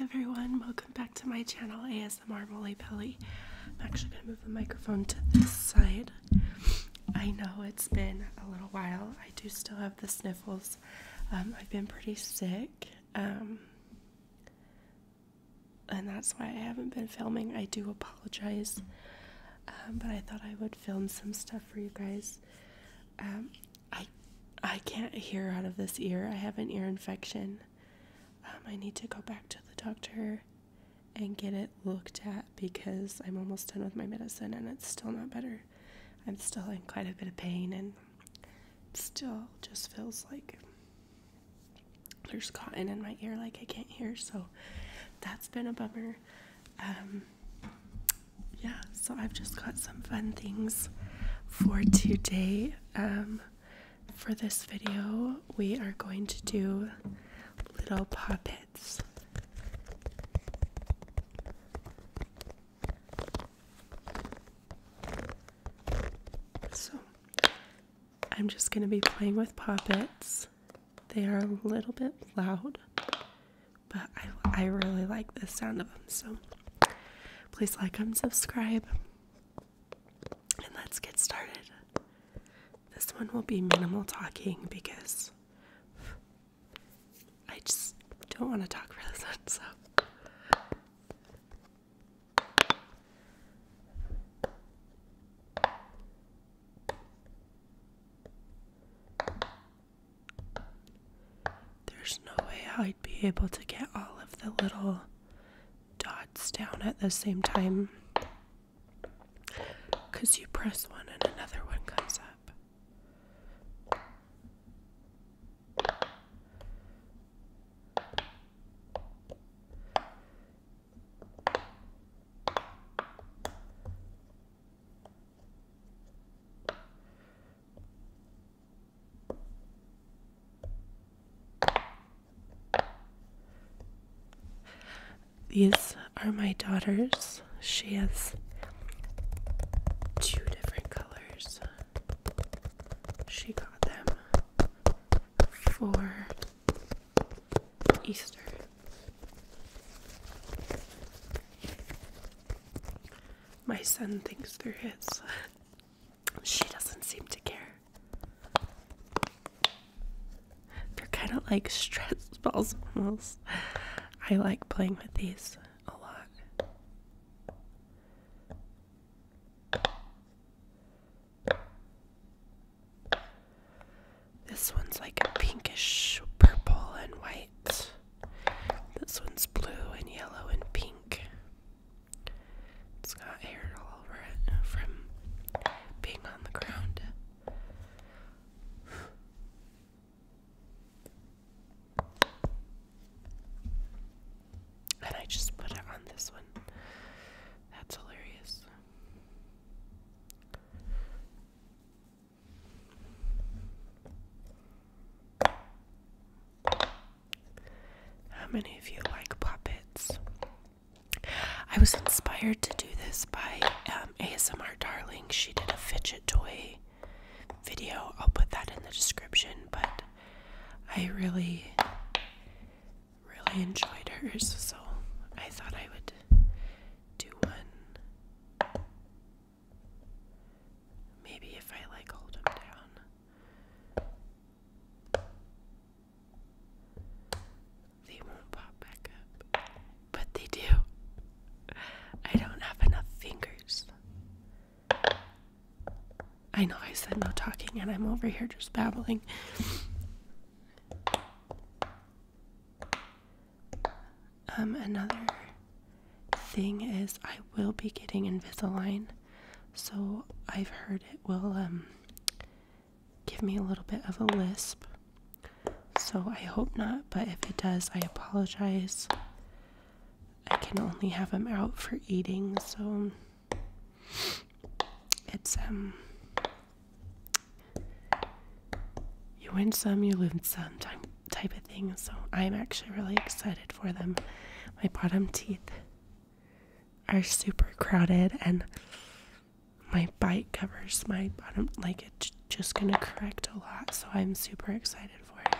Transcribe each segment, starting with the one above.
everyone, welcome back to my channel ASMR Molly Belly. I'm actually going to move the microphone to this side. I know it's been a little while. I do still have the sniffles. Um, I've been pretty sick. Um, and that's why I haven't been filming. I do apologize. Um, but I thought I would film some stuff for you guys. I I can't hear out of this ear. I have an ear infection. Um, I need to go back to the doctor and get it looked at because I'm almost done with my medicine and it's still not better. I'm still in quite a bit of pain and it still just feels like there's cotton in my ear, like I can't hear. So that's been a bummer. Um, yeah, so I've just got some fun things for today. Um, for this video, we are going to do little puppets. So, I'm just going to be playing with puppets. They are a little bit loud, but I, I really like the sound of them. So please like and subscribe. And let's get started. This one will be minimal talking because I just don't want to talk for this one. So. There's no way I'd be able to get all of the little dots down at the same time. Because you press one and another one comes up. These are my daughters. She has two different colors. She got them for Easter. My son thinks through his. she doesn't seem to care. They're kind of like stress balls almost. I like playing with these a lot. This one's like a pinkish purple and white. This one's blue and yellow and pink. It's got hair all over it from being on the ground. And I just put it on this one. That's hilarious. How many of you like puppets? I was inspired to do this by um, ASMR Darling. She did a fidget toy video. I'll put that in the description, but I really, really enjoyed hers, so I thought I would do one Maybe if I like hold them down, they won't pop back up. But they do. I don't have enough fingers. I know I said no talking, and I'm over here just babbling. Um, another thing is I will be getting Invisalign, so I've heard it will um give me a little bit of a lisp. So I hope not, but if it does, I apologize. I can only have them out for eating, so it's um you win some, you lose some type of thing. So I'm actually really excited for them. My bottom teeth are super crowded, and my bite covers my bottom, like it's just gonna correct a lot. So I'm super excited for it.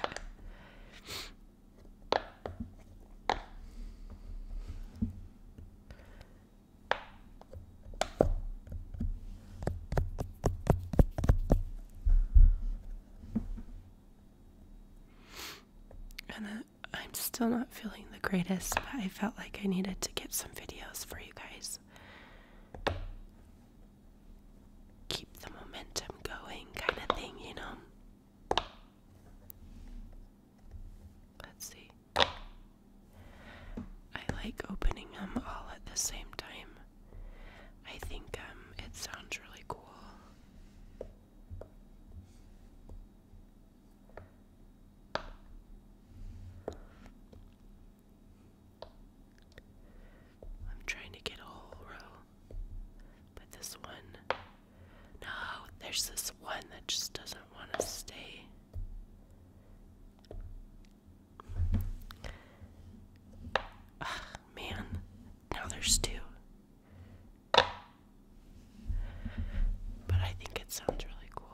And uh, I'm still not feeling the greatest, but I felt like I needed to get some videos for you guys. Keep the momentum going, kind of thing, you know? Let's see. I like opening them all at the same time. I think um, it sounds really cool. I'm trying to get a whole row, but this one, no, there's this one that just doesn't want to stay man, now there's two. But I think it sounds really cool.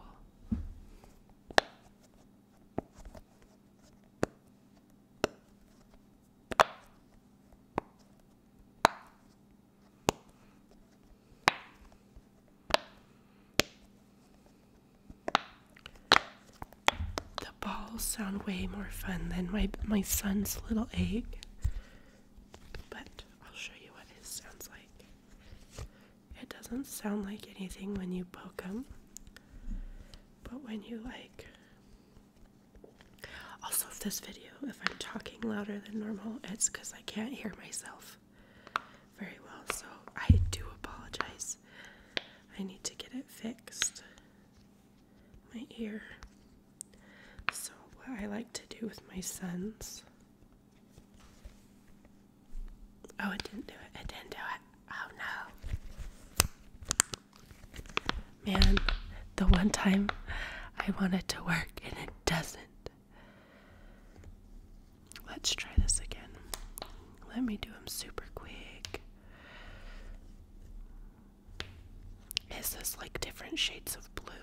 The balls sound way more fun than my my son's little egg. But I'll show you what his sounds like. It doesn't sound like anything when you poke them. But when you like also if this video if I'm talking louder than normal it's cuz I can't hear myself very well. So I do apologize. I need to get it fixed. My ear. So, what I like to do with my sons. Oh, it didn't do it. It didn't do it. Oh no. Man, the one time I wanted to work and it doesn't. Let's try this again. Let me do them super quick. Is this like different shades of blue?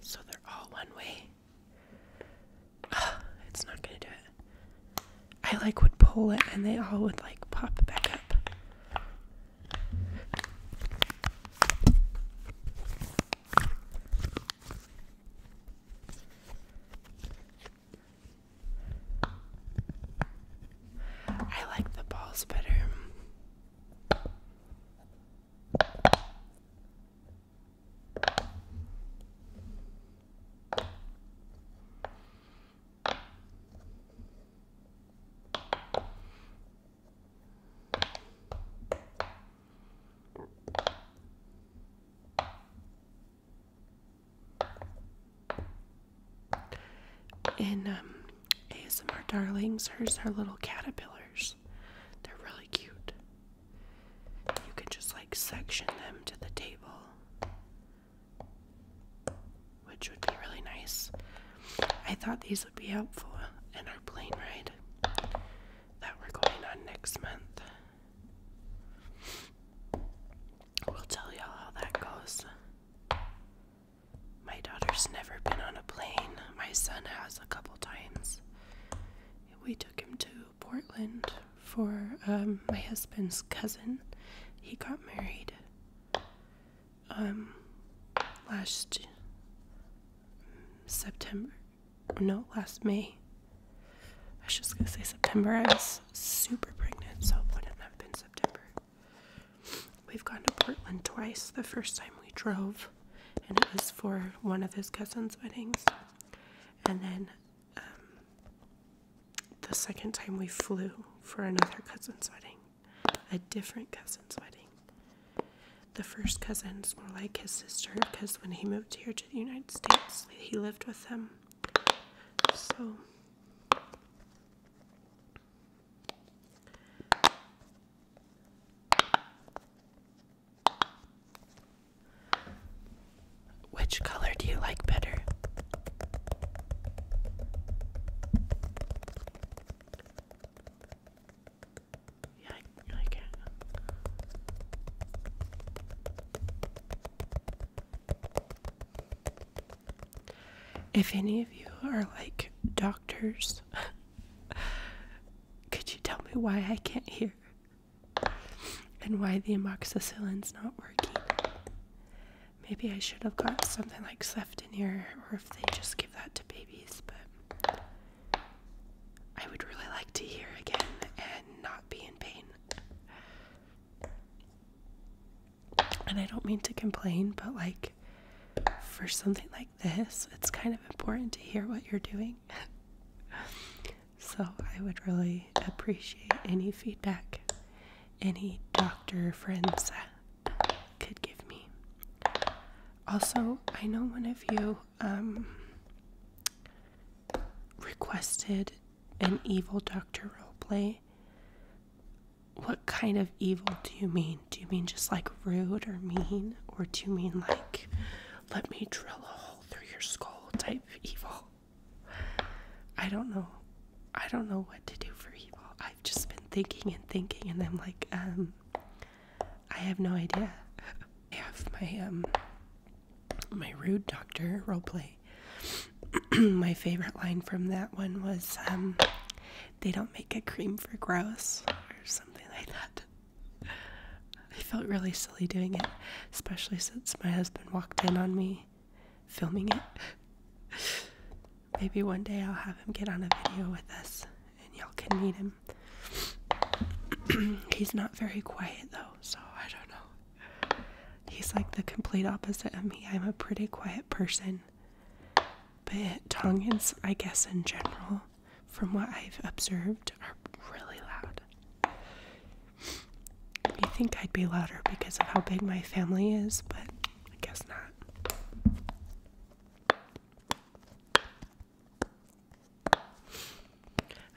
So they're all one way. it's not gonna do it. I like would pull it and they all would like pop back up. I like the balls better. In um, ASMR Darlings, hers are little caterpillars. They're really cute. You can just like section them to the table, which would be really nice. I thought these would be helpful in our plane ride that we're going on next month. We'll tell y'all how that goes. My daughter's never been on a plane. My son has a couple times. We took him to Portland for um, my husband's cousin. He got married um, last September. No, last May. I was just gonna say September. I was super pregnant, so it wouldn't have been September. We've gone to Portland twice. The first time we drove, and it was for one of his cousin's weddings. And then um, the second time we flew for another cousin's wedding, a different cousin's wedding. The first cousin's more like his sister because when he moved here to the United States, he lived with them. So. Which color do you like better? If any of you are like doctors, could you tell me why I can't hear? and why the amoxicillin's not working. Maybe I should have got something like ceftonir, or if they just give that to babies, but I would really like to hear again and not be in pain. And I don't mean to complain, but like for something like this, it's kind of important to hear what you're doing. so I would really appreciate any feedback any doctor friends could give me. Also, I know one of you um, requested an evil doctor role play. What kind of evil do you mean? Do you mean just like rude or mean? Or do you mean like let me drill a hole through your skull type evil. I don't know. I don't know what to do for evil. I've just been thinking and thinking, and I'm like, um, I have no idea. I have my, um, my rude doctor role play. my favorite line from that one was, um, they don't make a cream for gross or something like that. I felt really silly doing it, especially since my husband walked in on me filming it. Maybe one day I'll have him get on a video with us and y'all can meet him. He's not very quiet though, so I don't know. He's like the complete opposite of me. I'm a pretty quiet person. But Tongans, I guess in general, from what I've observed, are really loud. You think I'd be louder because of how big my family is, but I guess not.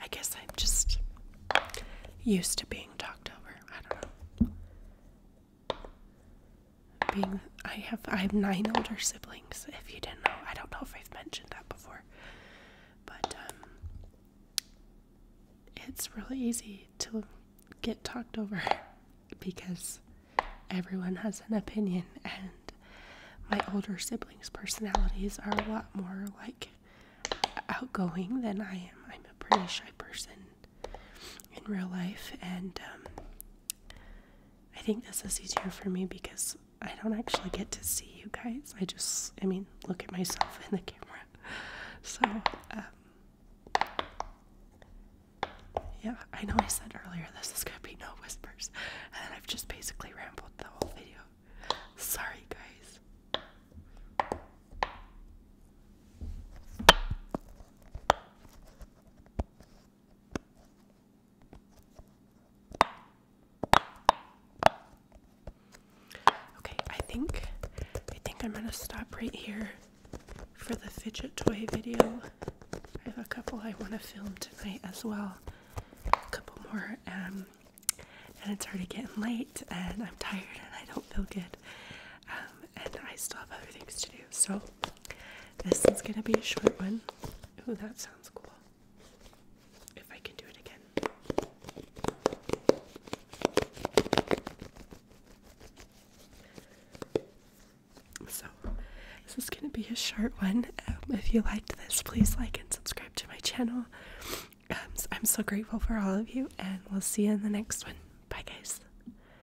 I guess I'm just used to being talked over. I don't know being I have I have nine older siblings. If you didn't know, I don't know if I've mentioned that before, but um, it's really easy to get talked over because everyone has an opinion, and my older siblings' personalities are a lot more like outgoing than I am. I'm a pretty shy person in real life, and um, I think this is easier for me because I don't actually get to see you guys. I just, I mean, look at myself in the camera. So, um, yeah, I know I said earlier this is gonna be no whispers, and I've just basically rambled the whole video. Sorry, guys. Okay, I think I think I'm gonna stop right here for the fidget toy video. I have a couple I want to film tonight as well. A couple more, um, and it's already getting late, and I'm tired, and I don't feel good, um, and I still have other things to do. So this is gonna be a short one. Oh, that sounds cool. If I can do it again. So, this is going to be a short one. Um, if you liked this, please like and subscribe to my channel. Um, I'm so grateful for all of you, and we'll see you in the next one. Bye, guys.